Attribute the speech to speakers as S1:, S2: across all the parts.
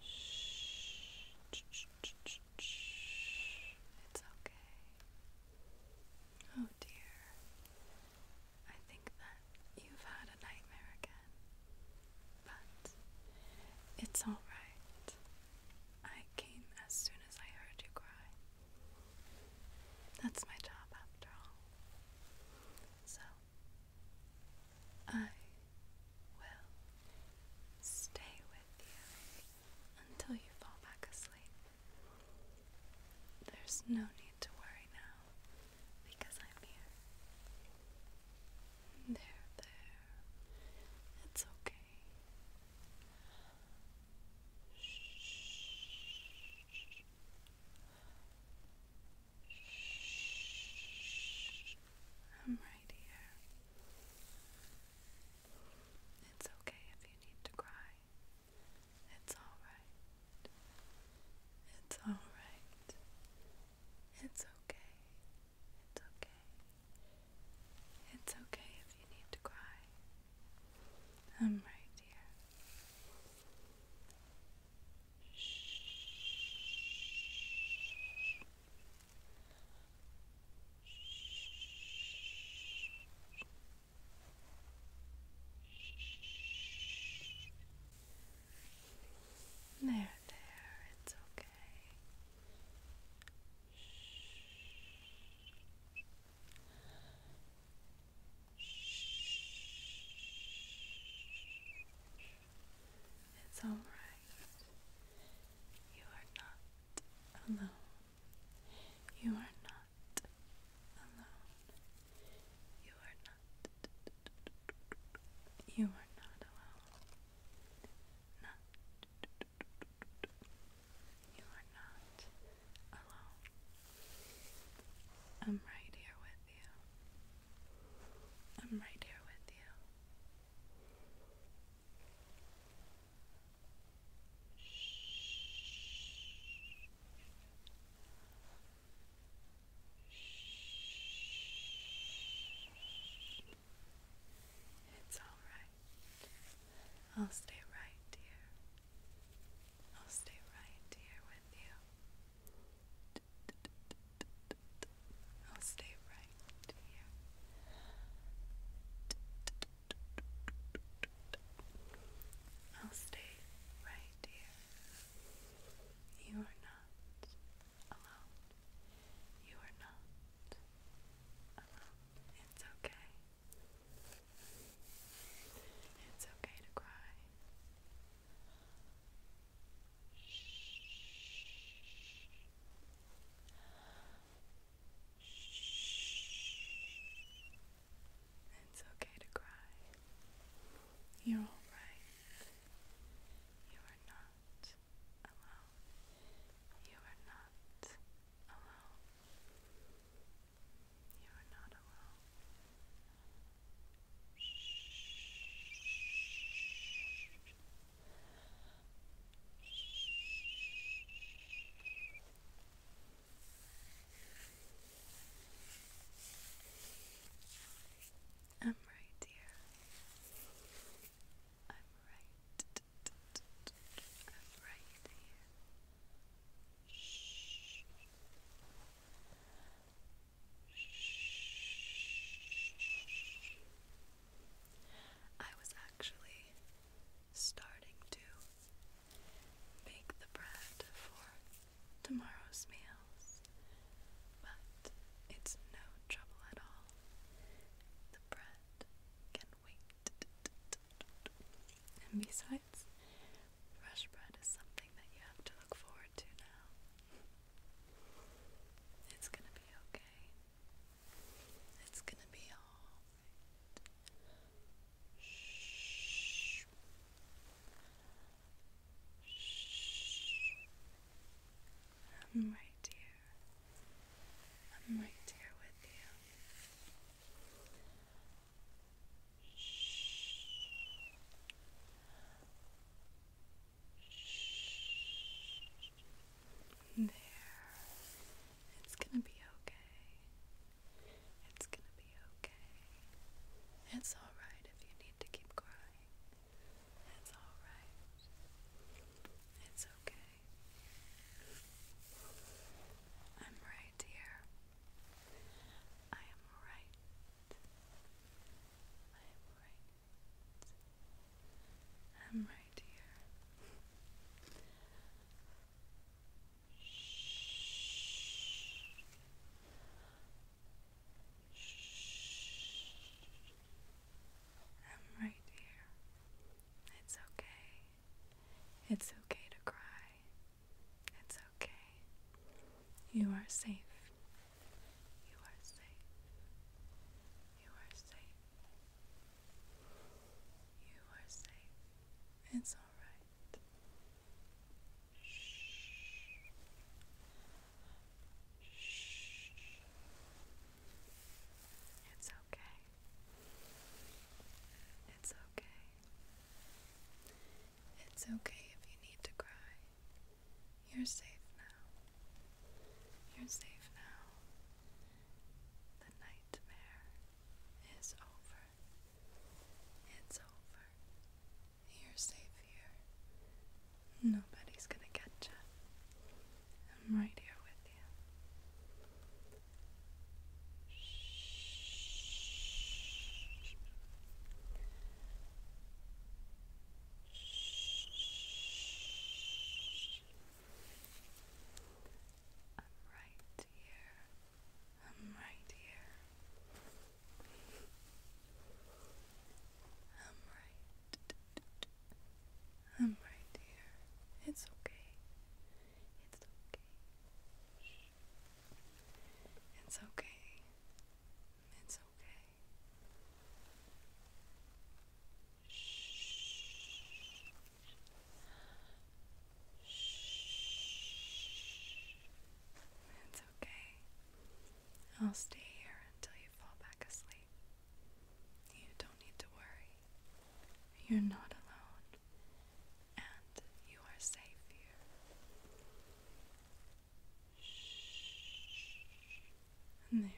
S1: Shh. It's okay. Oh dear. I think that you've had a nightmare again. But it's alright. I came as soon as I heard you cry. That's my job after all. So, I will stay with you until you fall back asleep. There's no need to worry now because I'm here. There, there. It's okay. Shh. Shh. I'm right here. It's okay if you need to cry. It's alright. It's alright. It's okay. It's okay. It's okay if you need to cry. I'm right here. There, there, it's okay. It's alright. You are not alone. You are not alone. You are not. You are not alone. You are not alone. I'm right here with I'm right here with you. It's all right. I'll stay right here. I'll stay right here with you. I'll stay right here. I'll stay right here. You are not alone. You are not alone. It's okay. It's okay to cry. It's okay to cry. You're all right. You are not alone. You are not alone. You are not alone. I'm right here. I'm right. I'm right here. Shh. I was actually starting to make the bread for tomorrow's meals, but it's no trouble at all. The bread can wait. And besides, Fresh bread is something that you have to look forward to now. It's gonna be okay. It's gonna be alright. Shh. Shh. I'm right here. I'm right here with you. There. It's gonna be okay. It's gonna be okay. It's alright if you need to keep crying. It's alright. It's okay. I'm right here. I am right. I am right. I'm right here. Shh. Shh. I'm right here. It's okay. It's okay to cry. It's okay. You are safe. You are safe. You are safe. You are safe. It's alright. Shh. Shh. It's okay. It's okay. It's okay if you need to cry. You're safe now. You're safe now. The nightmare is over. It's over. You're safe here. Nobody's gonna get you. I'm right here with you. I'm right here. I'm right here. I'm right. I'm right here. It's okay. It's okay. It's okay. It's okay. Shh. Shh. It's okay. I'll stay here until you fall back asleep. You don't need to worry. You're not alone and you are safe here. Shh. And there, there.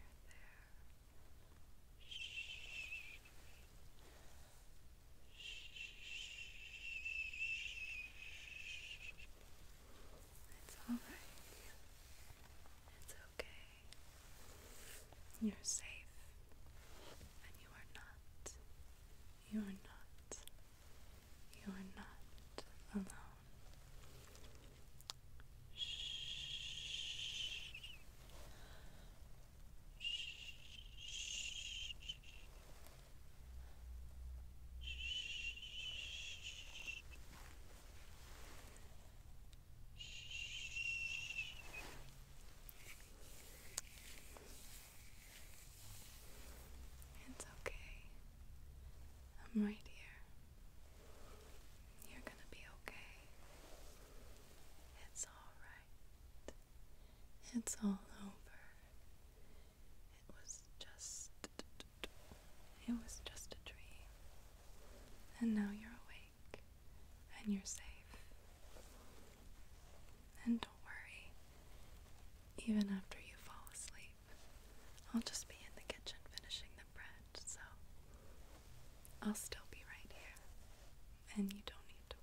S1: It's all right. It's okay. You're safe, and you are not. You are not. You are not alone. Shh. It's okay. I'm right here. You're gonna be okay. It's alright. It's all over. It was just. It was just a dream. And now you're awake. And you're safe. And don't worry, even after you fall asleep, I'll just be in the kitchen finishing the bread, so I'll still be right here, and you don't need to worry.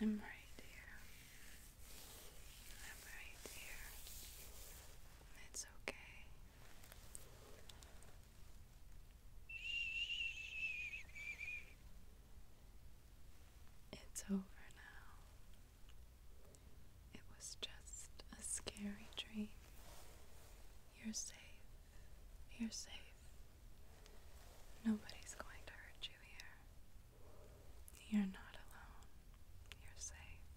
S1: I'm right here. I'm right here. It's okay. It's over now. It was just a scary dream. You're safe. You're safe. Nobody's going to hurt you here. You're not alone. You're safe.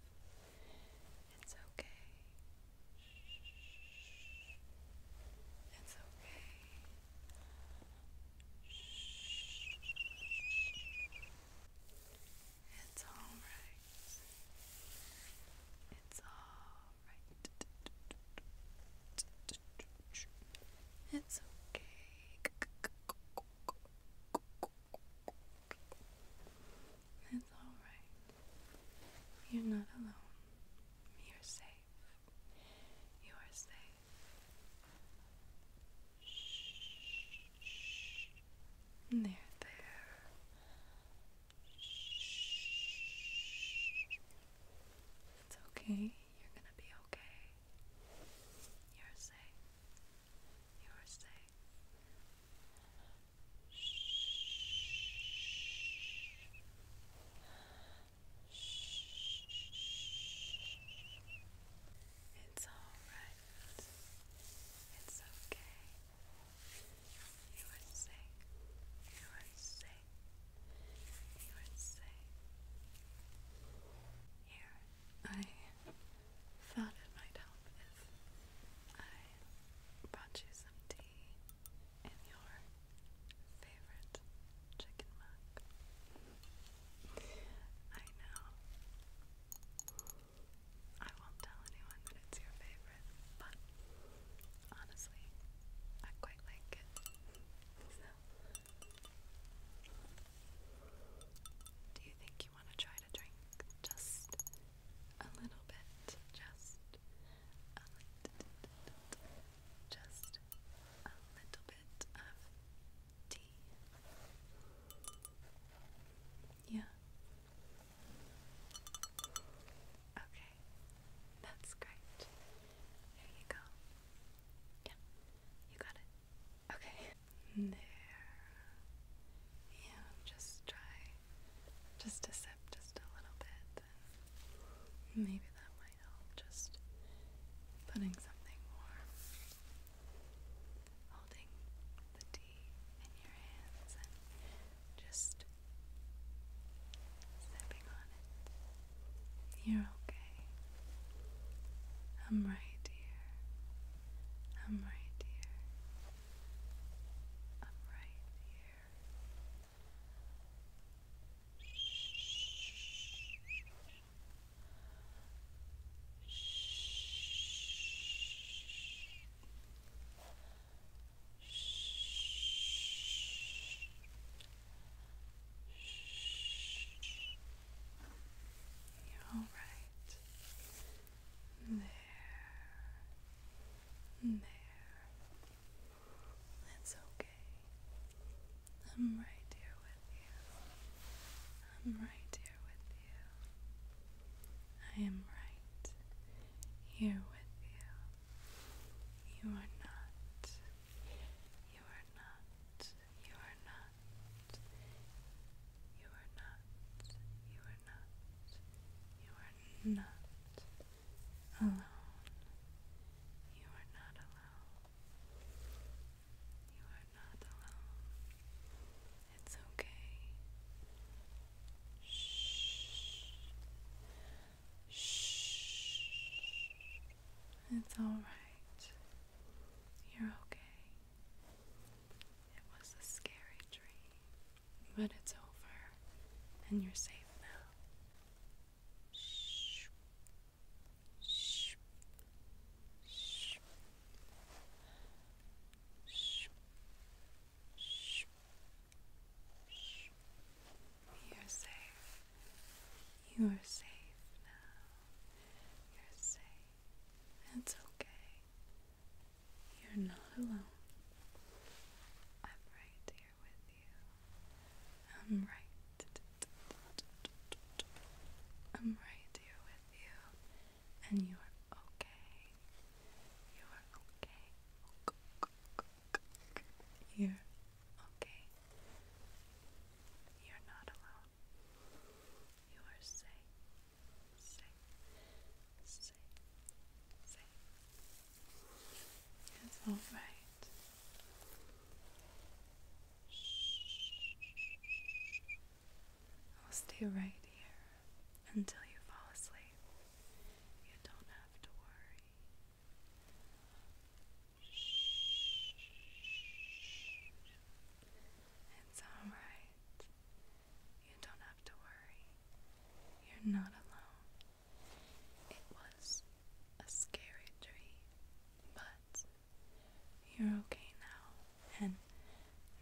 S1: It's okay. It's okay. It's all right. It's all it's okay. It's alright. You're not alone. You're safe. You are safe. Shh. There, there. It's okay. You're gonna be okay. You're safe. You're safe. It's alright. It's okay. You are safe. You are safe. You are safe. Here, I thought it might help if I brought you some tea in your favorite chicken mug. I know. I won't tell anyone that it's your favorite but honestly, I quite like it. So, do you think you want to try to drink just a little bit? Just a little, just a little bit of tea. Yeah. Okay. That's great. There you go. Yeah, you got it. Okay. There. Yeah, just try just a sip, just a little bit. And maybe that might help. Just putting something warm, holding the tea in your hands just stepping on it. You're okay. I'm right here. I'm right here. I'm right here. All right. There. There. It's okay. I'm right here with you. I'm right here with you. I am right here with you. You are not. You are not. You are not. You are not. You are not. You are not alone. You are not alone. You are not alone. It's okay. Shh. Shh. It's alright. You're okay. It was a scary dream, but it's over and you're safe now. Shh. Shh. Shh. Shh. Shh. You're safe. You are safe now. You're safe. It's okay. You're not alone. I'm right here with you. I'm right. I'm right here with you. And you are okay. You are okay. You're okay. You're not alone. You are safe, safe, safe, safe. It's all right. I'll stay right here until you fall asleep. You don't have to worry. It's alright. You don't have to worry. You're not alone. It was a scary dream, but you're okay now, and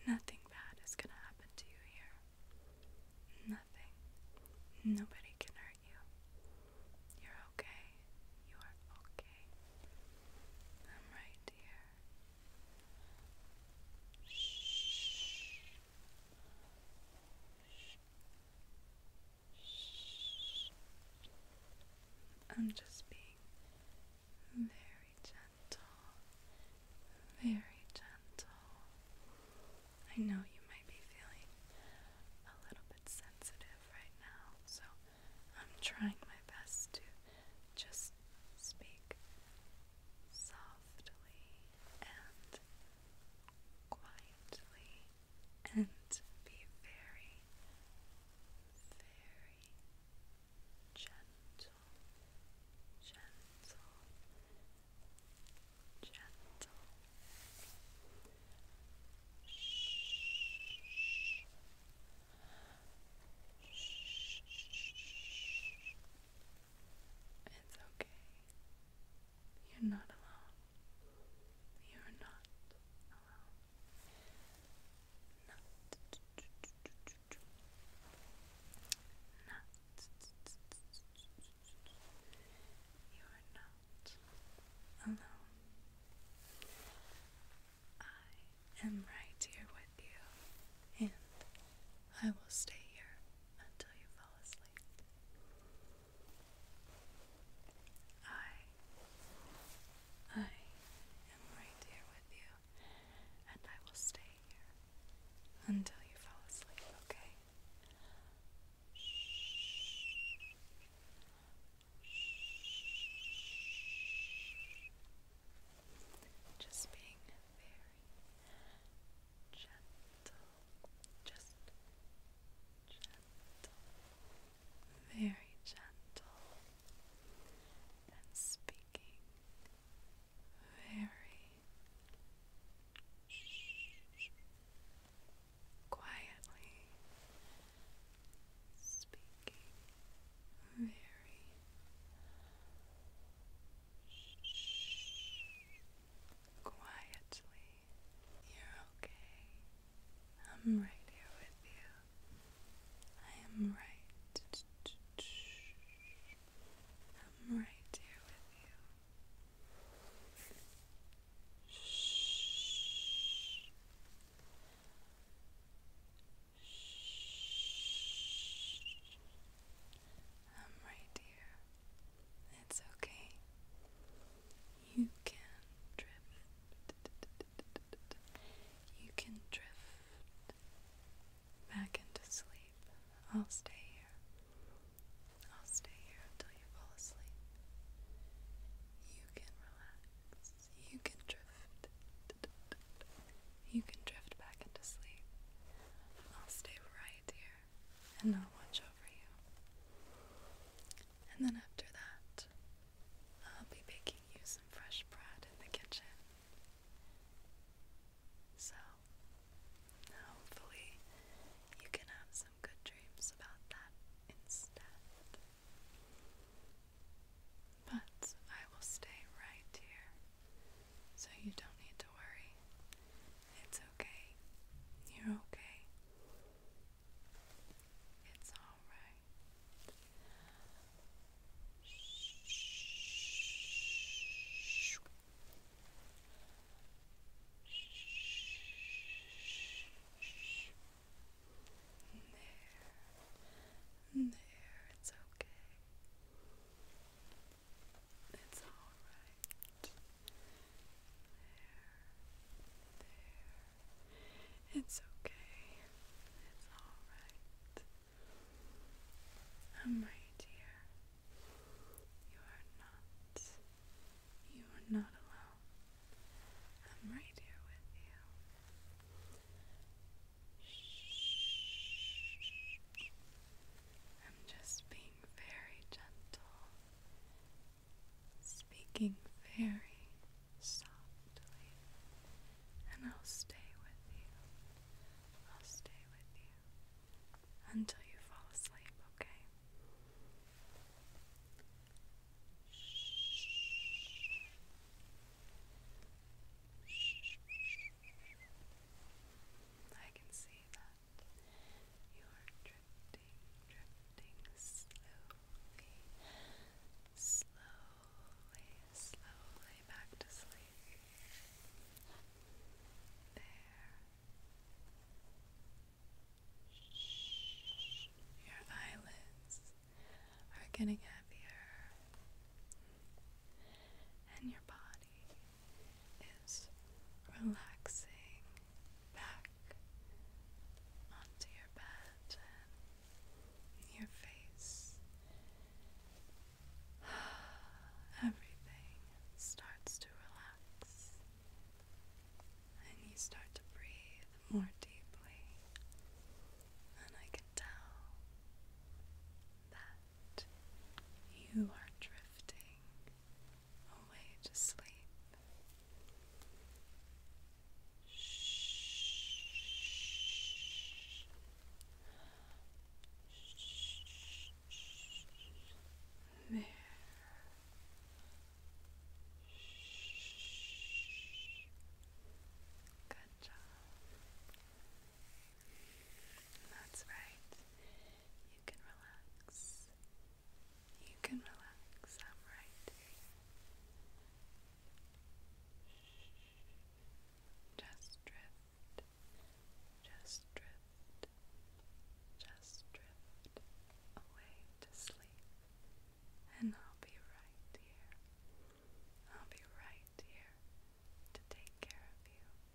S1: nothing bad is gonna happen to you here. Nothing. Nobody can hurt you. You're okay. You are okay. I'm right here. Shh. Shh. I'm just being very gentle very gentle. I know you might be feeling a little bit sensitive right now, so I'm trying my best to just speak softly and quietly and be very, very gentle, gentle, gentle. Shh. Shh. It's okay. You're not alone. You're not alone. Not. You are not alone. I am right here with you, and I will stay here until you fall asleep. I I am right here with you and I will stay here until you fall asleep, okay? Just being very gentle, just gentle, very gentle, and speaking very quietly speaking very quietly. You're okay. I'm right here with you. I am right I'm right here with you. Shh. Shh. I'm right here. It's okay. You can drift. You can drift back into sleep. I'll stay here. I'll stay here until you fall asleep. You can relax. You can drift. You can drift back into sleep. I'll stay right here and I'll watch over you. And then after that, I'll be baking you some fresh bread in the kitchen. So, hopefully, you can have some good dreams about that instead. But I will stay right here, so you don't need to worry. It's okay. You're okay. It's alright. There. There, it's okay. It's all right. There. There. It's okay. It's all right. I'm right here. You are not. You are not alone. I'm right here with you. I'm just being very gentle, speaking very softly and I'll stay with you. I'll stay with you until you fall asleep, okay? I can see that you are drifting, drifting slowly slowly, slowly back to sleep. There. Shh. Your eyelids are getting heavier, and your body is relaxing back onto your bed your face. Everything starts to relax, and you start to breathe more deeply. And I can tell that you are drifting away to sleep. There. Good job. That's right. You can relax. You can relax. I'm right just drift, just drift, just drift away to sleep, and I'll be right here. I'll be right here to take care of you.